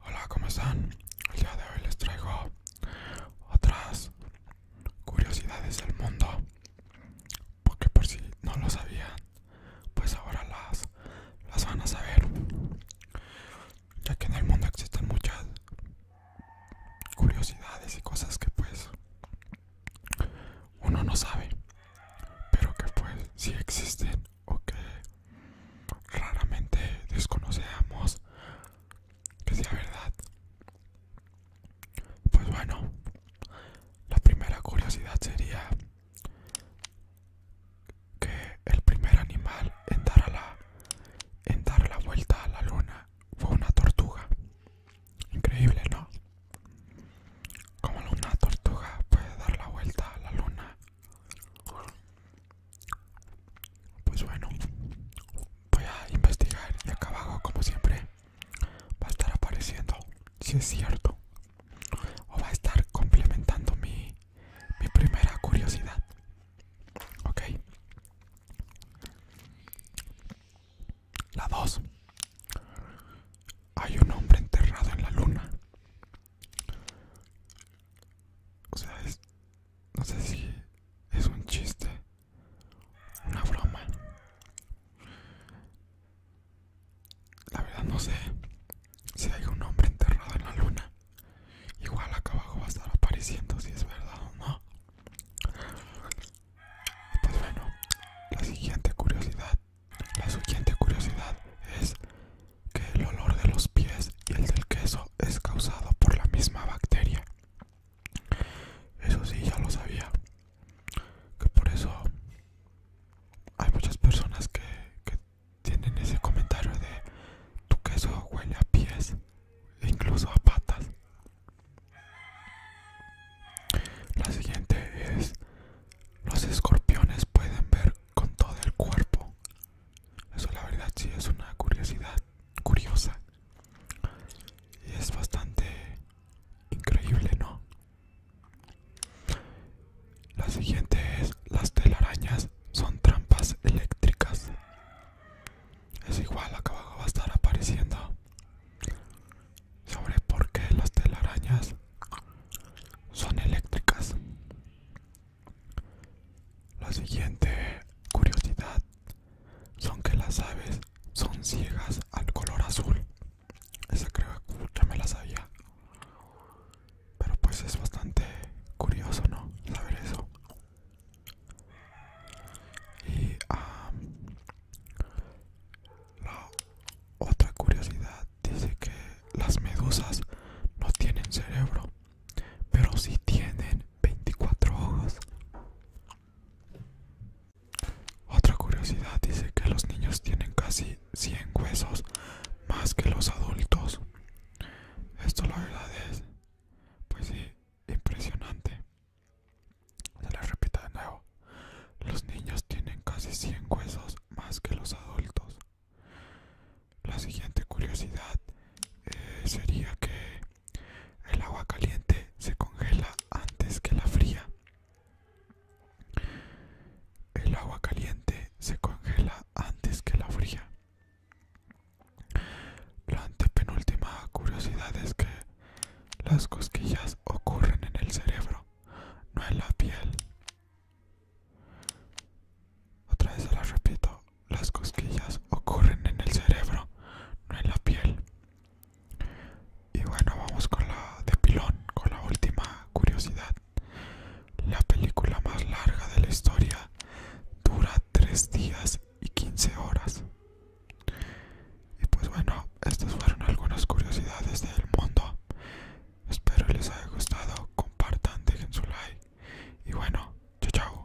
Hola, ¿cómo están? El día de hoy les traigo otras curiosidades del mundo. Porque por si no lo sabían, pues ahora las, las van a saber. Ya que en el mundo existen muchas curiosidades y cosas que pues uno no sabe pero que pues si existen o que raramente desconocemos que sea verdad pues bueno la primera curiosidad sería que el primer animal en dar a la en dar la vuelta a la luna fue una tortuga. Increíble, ¿no? Como una tortuga puede dar la vuelta a la luna. Pues bueno, voy a investigar y acá abajo, como siempre, va a estar apareciendo si es cierto o va a estar complementando mi mi primera curiosidad. Ok. La dos Hay un hombre enterrado en la luna. O sea, es, no sé si es un chiste, una broma. La verdad no sé si hay un hombre enterrado en la luna. Igual acá abajo va a estar apareciendo si es verdad o no. Pues bueno, la siguiente curiosidad, la siguiente curiosidad es que el olor de los pies y el del queso es causado por la misma bacteria. Eso sí, ya lo sabía. Que por eso hay muchas personas que, que tienen ese comentario de tu queso huele a pies e incluso a patas. La siguiente es los escorpiones pueden ver con todo el cuerpo. Eso la verdad sí es una curiosidad curiosa. Y es bastante increíble, ¿no? La siguiente es las telarañas son trampas eléctricas. Es igual, acá abajo va a estar apareciendo sobre por qué las telarañas son eléctricas. La siguiente curiosidad son que las aves son ciegas al color azul. Esa creo que ya me la sabía. Pero pues es bastante curioso, ¿no? Saber eso. Y la otra curiosidad dice que las medusas no tienen cerebro, pero sí tienen 24 ojos. Otra curiosidad dice que los niños tienen casi 100 huesos más que los adultos. Esto la verdad es, pues sí, impresionante. Se lo repito de nuevo. Los niños tienen casi 100 huesos más que los adultos. La siguiente curiosidad eh, sería que el agua caliente se congela antes que la fría. El agua caliente se congela antes que la fría. La antepenúltima curiosidad es que las cosquillas ocurren en el cerebro, no en la piel. Otra vez se las repito, las cosquillas ocurren en el cerebro, no en la piel. Y bueno, vamos con la de pilón, con la última curiosidad. La película más larga de la historia dura 3 días y 15 horas. Y pues bueno, estas fueron algunas curiosidades del mundo. Espero les haya gustado. Compartan, dejen su like. Y bueno, chao chao.